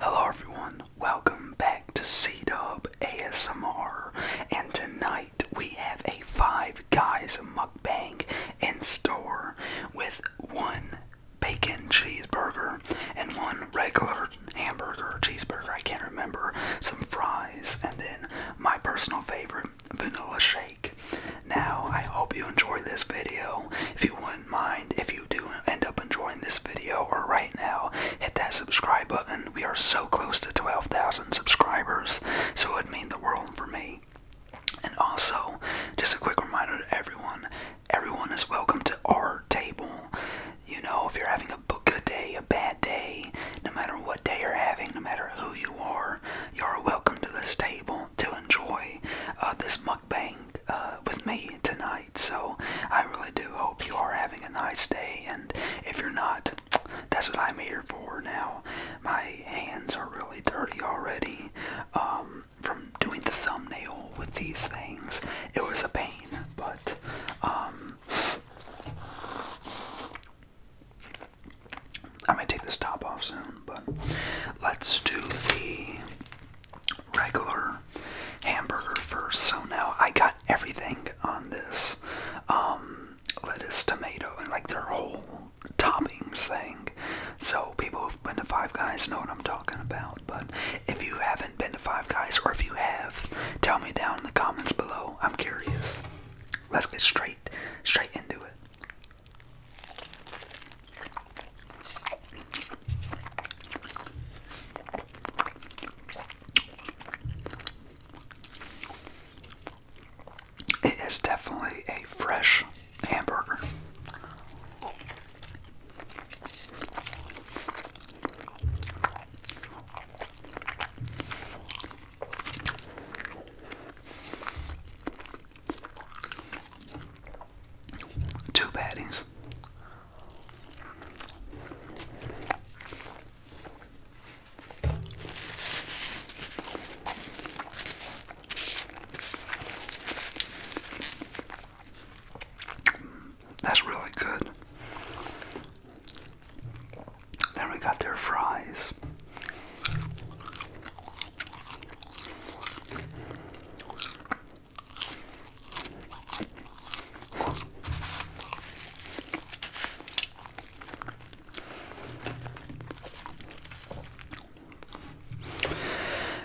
Hello everyone, welcome back to C-Dub ASMR, and tonight we have a Five Guys mukbang in store with one bacon cheeseburger and one regular hamburger cheeseburger, I can't remember, some fries, and then my personal favorite, vanilla shake. Now, I hope you enjoyed this video. If you want mind, if you do end up enjoying this video or right now, hit that subscribe button. We are so close to 12,000 subscribers, so it would mean the world for me. And also, just a quick reminder to everyone everyone is welcome to our table. You know, if you're having a good day, a bad day, no matter what day you're having, no matter who you are, you're welcome to this table to enjoy uh, this this uh, with me tonight. So I really do hope you are having a nice day. And if you're not, that's what I'm here for now. My hands are really dirty already um, from doing the thumbnail with these things. It was a pain, but. Um, I might take this top off soon, but let's do the regular hamburger first. So now I got everything on this um, lettuce, tomato, and like their whole toppings thing. So people who've been to Five Guys know what I'm talking about. But if you haven't been to Five Guys, or if you have, tell me down in the comments below. I'm curious. Let's get straight, straight into it. It is definitely a fresh hamburger two patties. That's really good. Then we got their fries.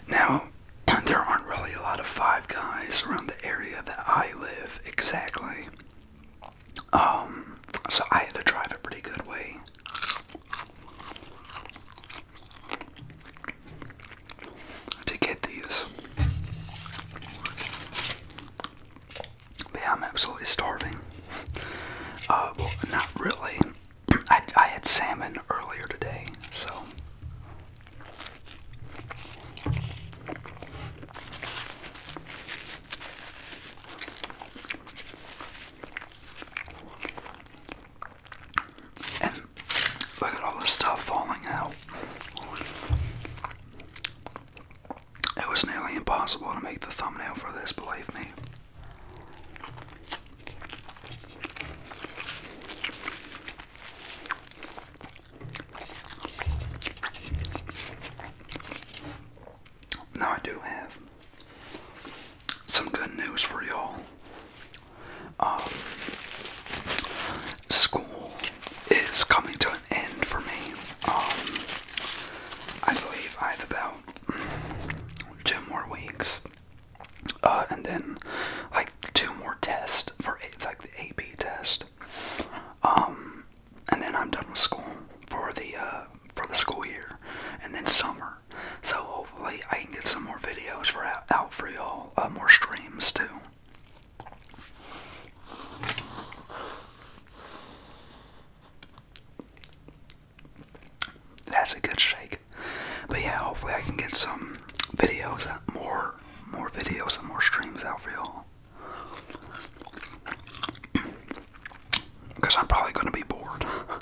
Now, there aren't really a lot of Five Guys around the area that I live exactly. Um, so I had to drive a pretty good way to get these. But I'm absolutely starving. Uh, well, not really. I, I had salmon earlier today, so. And look at all the stuff falling out. It was nearly impossible to make the thumbnail for this, believe me. Now I do have some good news for y'all. Um, school is coming to an end for me. Um, I believe I have about two more weeks, uh, and then like two more tests for like the AP test. Um, and then I'm done with school for the uh, for the school year, and then summer so hopefully I can get some more videos for out, for y'all, uh, more streams too. That's a good shake. But yeah, hopefully I can get some videos, out, more more videos and more streams out for y'all. Because I'm probably going to be bored.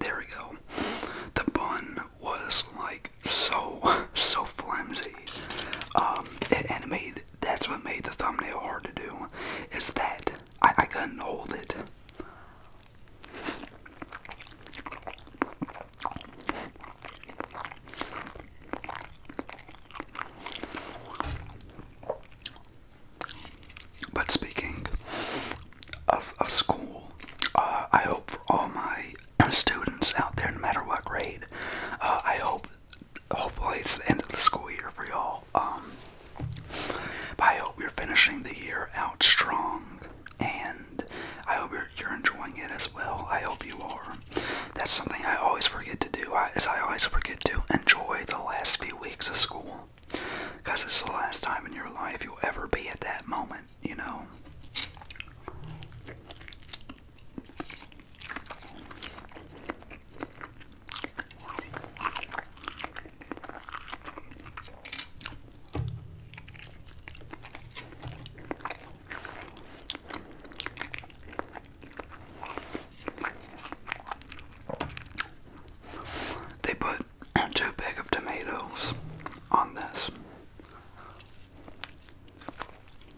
There we go. The bun was like so so flimsy. Um, it, and that's what made the thumbnail hard to do. Is that I, I couldn't hold it. But speaking of, of school, uh, I hope for all my students out there, no matter what grade, uh, I hope hopefully it's the end of the school year for y'all. Um, but I hope you're finishing the year out strong, and I hope you're, you're enjoying it as well. I hope you are. That's something I always forget to do. I, is I always forget to enjoy the last few weeks of school, because it's the last time in your life you'll ever be at that moment. You know. They put too big of tomatoes on this.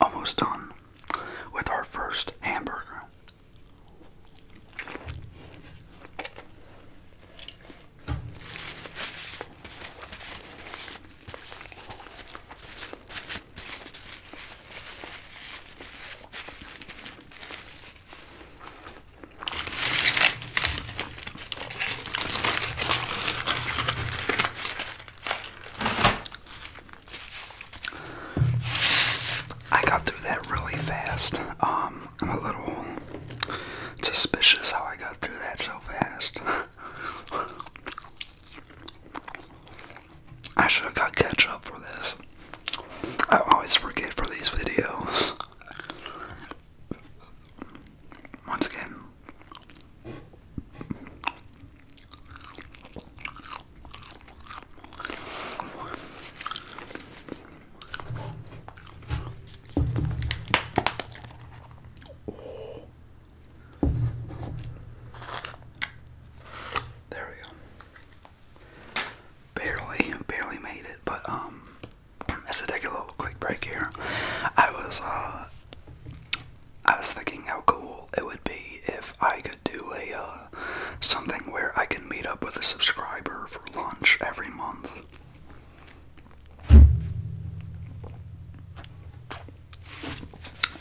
almost done with our first hamburger. I got through that really fast. Um, I'm a little suspicious how I got through that so fast. I should have got ketchup for this. I always forget for these videos. Once again, there we go. Barely, barely made it, but um, as I take a little quick break here, I was uh I was thinking how cool it would be if I could do a uh, something where I can meet up with a subscriber for lunch every month.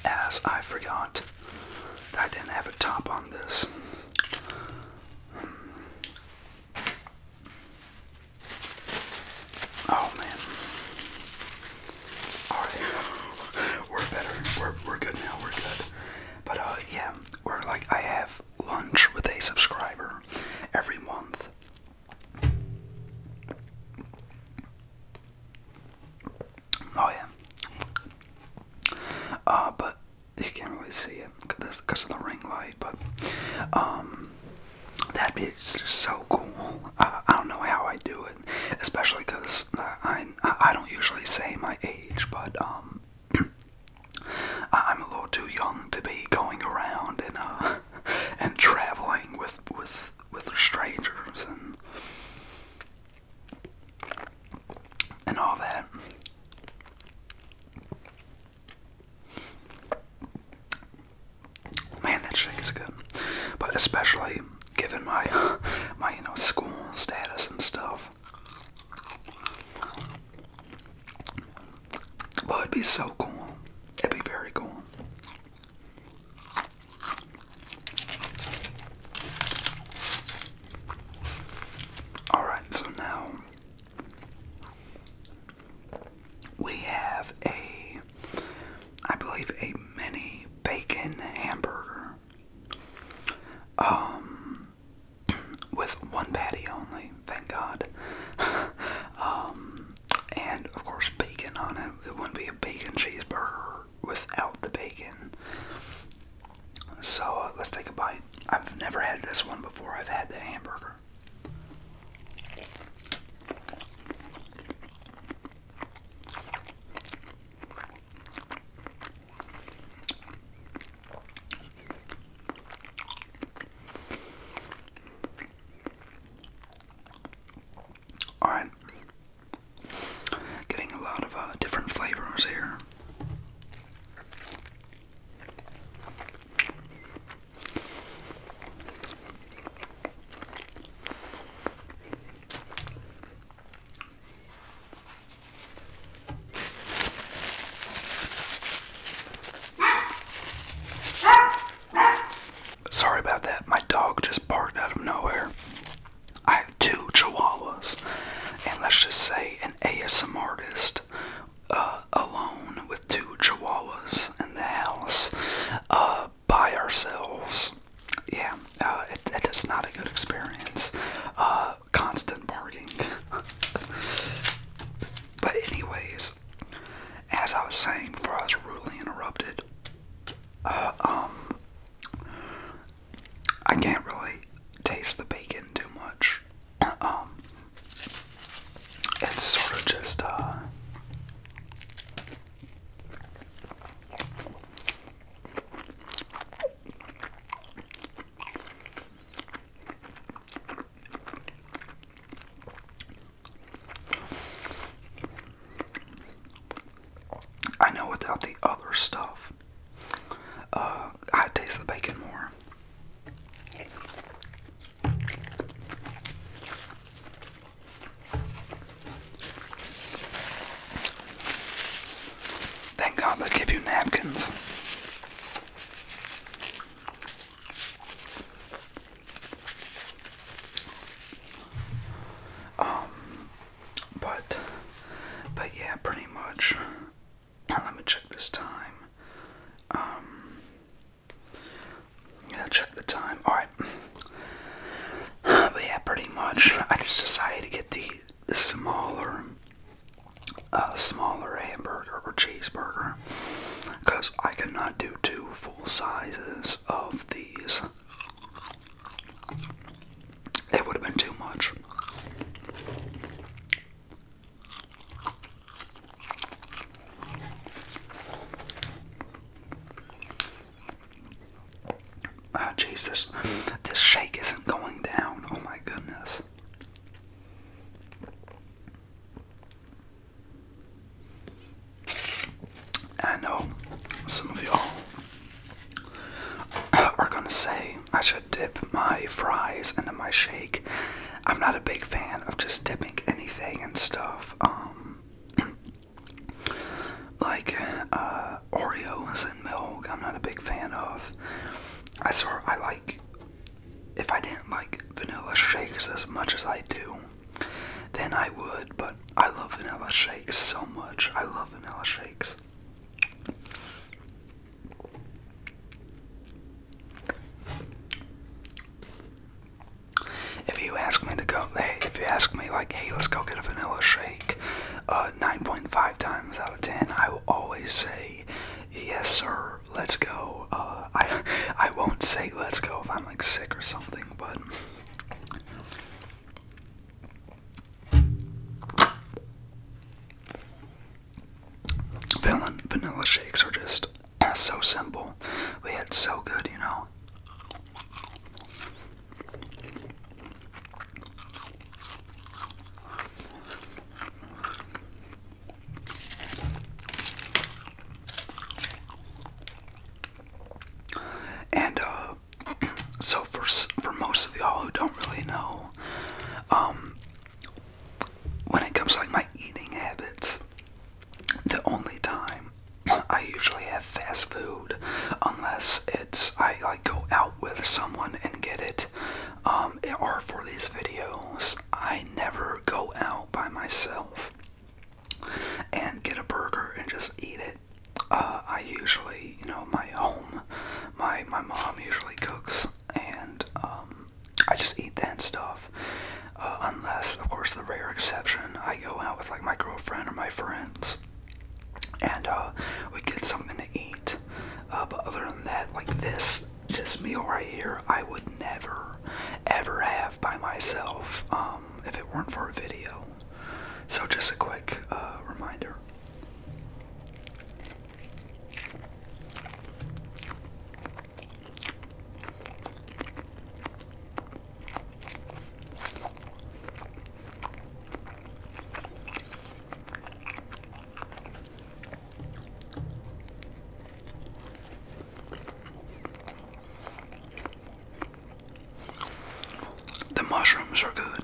As I forgot I didn't have a top on this. Oh man. Alright. we're better. We're, we're good now. We're good. But uh, yeah, we're like, I have lunch with a subscriber every month. Oh yeah. Uh, but you can't really see it because of the ring light. But um, that is just so cool. I don't know how I do it, especially because I, I, don't usually say my age, but um, I'm a little too young to be going around and uh, and traveling with with with strangers and and all that. Man, that shit is good. But especially given my my you know school status and stuff. Well, it'd be so cool. It'd be very cool. All right, so now we have a, I believe, a mini bacon hamburger um, with one patty only, thank God. um, and of course, bacon on it. It wouldn't be a bacon cheeseburger without the bacon. So uh, let's take a bite. I've never had this one before. I've had the hamburger all right, getting a lot of uh, different flavors here. Sorry about that. My dog just barked out of nowhere. I have two chihuahuas, and let's just say an ASM artist uh, alone with with two chihuahuas in the house uh, by ourselves. Yeah, uh, it is not a good experience. Uh, constant barking. but, anyways, as I was saying before I was rudely interrupted, um, I can't really taste the bacon too much. um, it's sort of just uh I know without the other stuff, uh, I taste the bacon more. Thank God they give you napkins. Um, but, but yeah, pretty much. Let me check this time. Um, i to check the time. Alright. But yeah, pretty much. I just decided to get the, smaller, uh, smaller hamburger or cheeseburger because I cannot do two full sizes of these. It would have been too much. Ah, jeez, this this shake isn't going down. Oh my goodness. I know some of y'all are gonna say I should dip my fries into my shake. I'm not a big fan of just dipping anything and stuff. Um, like uh, Oreos and milk, I'm not a big fan of. I sort I like. If I didn't like vanilla shakes as much as I do, then I would. But I love vanilla shakes so much. I love vanilla shakes. If you ask me to go, hey, if you ask me like, hey, let's go get a vanilla shake, uh, 9.5 times out of 10, I will always say, yes, sir, let's go. Uh, I, I won't say let's go if I'm like sick or something, but. Vanilla, shakes are just so simple, but yet so good, you know. And uh, so for for most of y'all who don't really know, um, when it comes to like my eating habits, the only time I usually have fast food, unless it's I like go out with someone and get it, um, or for these videos, I never go out by myself and get a burger and just eat it. Uh, I usually, you know, my home, my my mom usually cooks, and um, I just eat that stuff. Uh, unless, of course, the rare exception, I go out with like my girlfriend or my friends, and uh, we get something to eat. Uh, but other than that, like this, this meal right here, I would never, ever have by myself um, if it weren't for a video. So just a quick reminder. The mushrooms are good.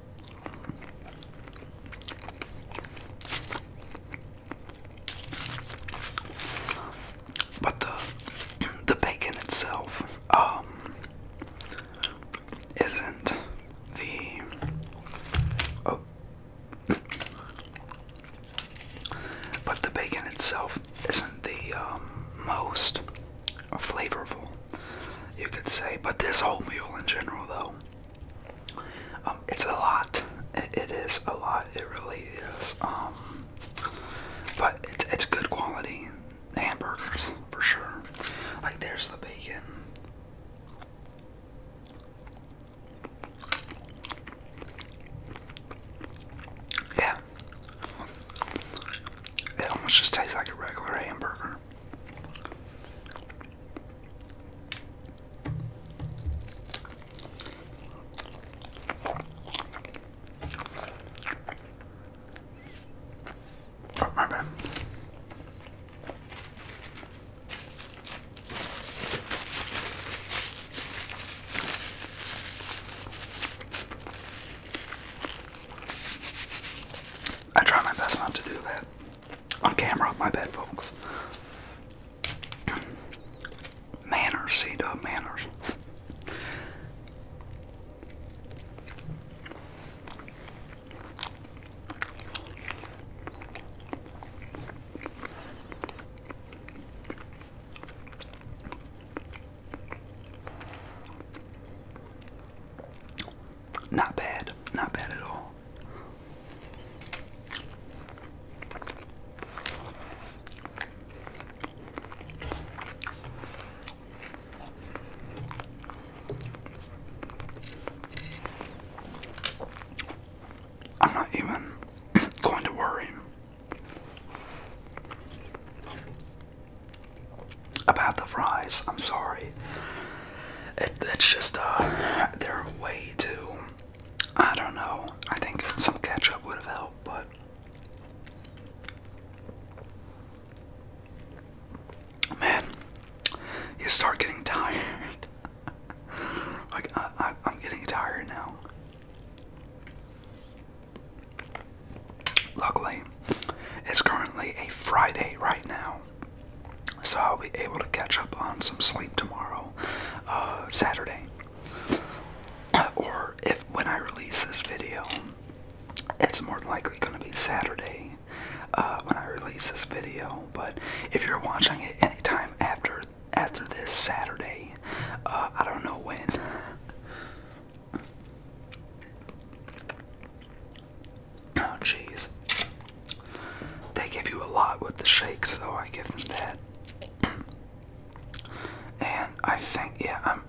But the the bacon itself um, isn't the oh, but the bacon itself isn't the um, most flavorful, you could say. But this whole meal in general, though, um, it's a lot. it is a lot. It really is. Um, but it's it's good quality hamburgers for sure. Like there's the bacon. Yeah. It almost just tastes like a regular hamburger. Oh, my bad. I try my best not to do that on camera. My bed, folks. Manners, C Manners. Not bad, not bad at all. I'm not even going to worry about the fries. I'm sorry. it's just uh, they're way too. I don't know. I think some ketchup would have helped, but man, you start getting tired. like I, I'm getting tired now. Luckily, it's currently a Friday right now, so I'll be able to catch up on some sleep tomorrow, uh, Saturday. Or if when I release this video, it's more likely going to be Saturday uh, when I release this video. But if you're watching it anytime after after this Saturday, uh, I don't know when. Oh, jeez. They give you a lot with the shakes, though. I give them that. And I think, yeah, I'm,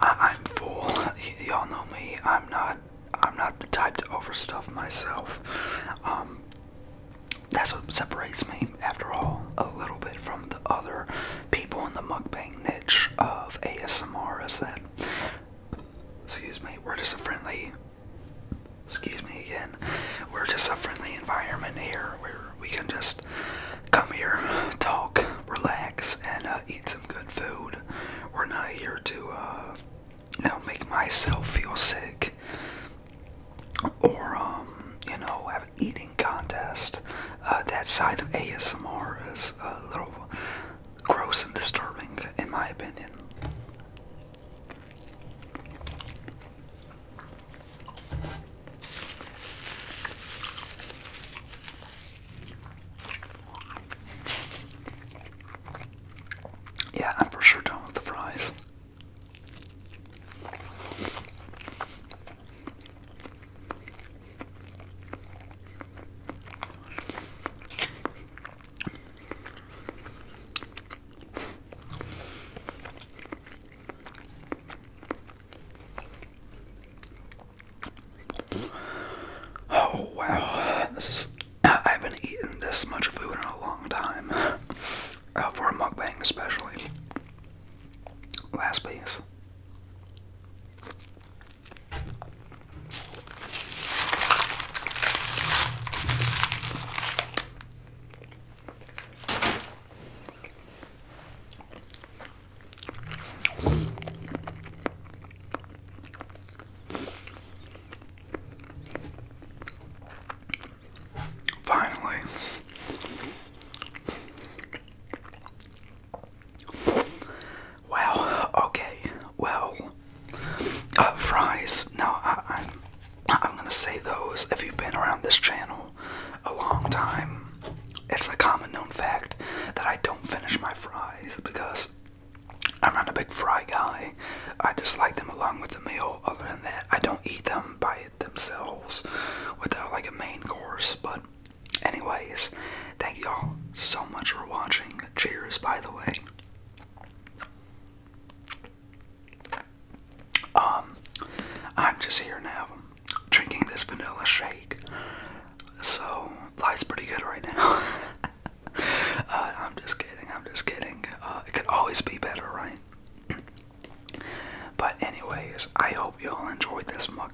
I, I'm full. Y'all know me. I'm not, I'm not the type to overstuff myself. Um, that's what separates me, after all, a little bit from the other people in the mukbang niche of ASMR. Is that Excuse me. We're just a friendly. Excuse me again. We're just a friendly environment here where we can just come here, talk, relax, and uh, eat some good food. We're not here to, uh, you know, make myself feel sick or, um, you know, have an eating contest. Uh, that side of ASMR is a little gross and disturbing, in my opinion. Yeah, I'm for sure done with the fries. Oh wow, this is. I haven't eaten this much food in a long time. Uh, for a mukbang, especially. Last piece. Finally, Wow. Okay. Well, uh, fries. Now I, I'm. I'm gonna say those. If you've been around this channel a long time, it's a common known fact that I don't finish my fries because I'm not a big fry guy. I dislike them along with the meal. Other than that, I don't eat them by themselves without like a main course. But Anyways, thank y'all so much for watching. Cheers, by the way. Um, I'm just here now drinking this vanilla shake. So, life's pretty good right now. Uh, I'm just kidding, I'm just kidding. Uh, it could always be better, right? but anyways, I hope y'all enjoyed this mug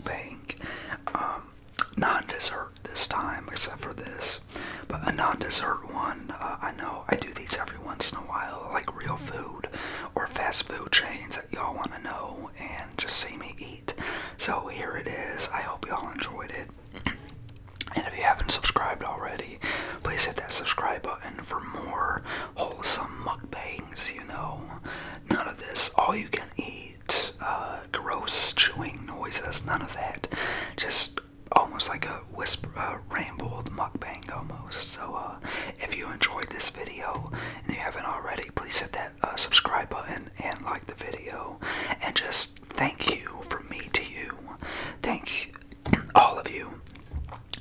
Um, non-dessert this time, except for this. But a non-dessert one, uh, I know I do these every once in a while, like real food or fast food chains that y'all want to know and just see me eat. So here it is. I hope y'all enjoyed it. And if you haven't subscribed already, please hit that subscribe button for more wholesome mukbangs, you know. None of this all you can eat uh, gross chewing noises, none of that. Just almost like a whisper, a rambled mukbang almost. So, uh, if you enjoyed this video and you haven't already, please hit that uh, subscribe button and like the video. And just thank you for me to you. Thank all of you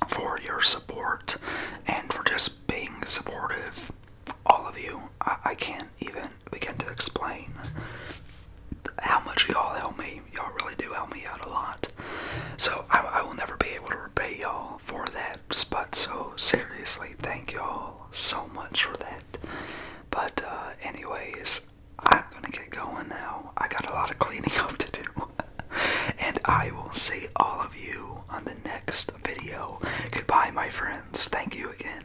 for your support and for just being supportive all of you. I, can't even begin to explain how much y'all help me. Y'all really do help me out a lot. So I, will never be able to repay y'all for that. But so seriously, thank y'all so much for that. But uh, anyways, I'm gonna get going now. I got a lot of cleaning up to do. and I will see all of you on the next video. Goodbye, my friends. Thank you again.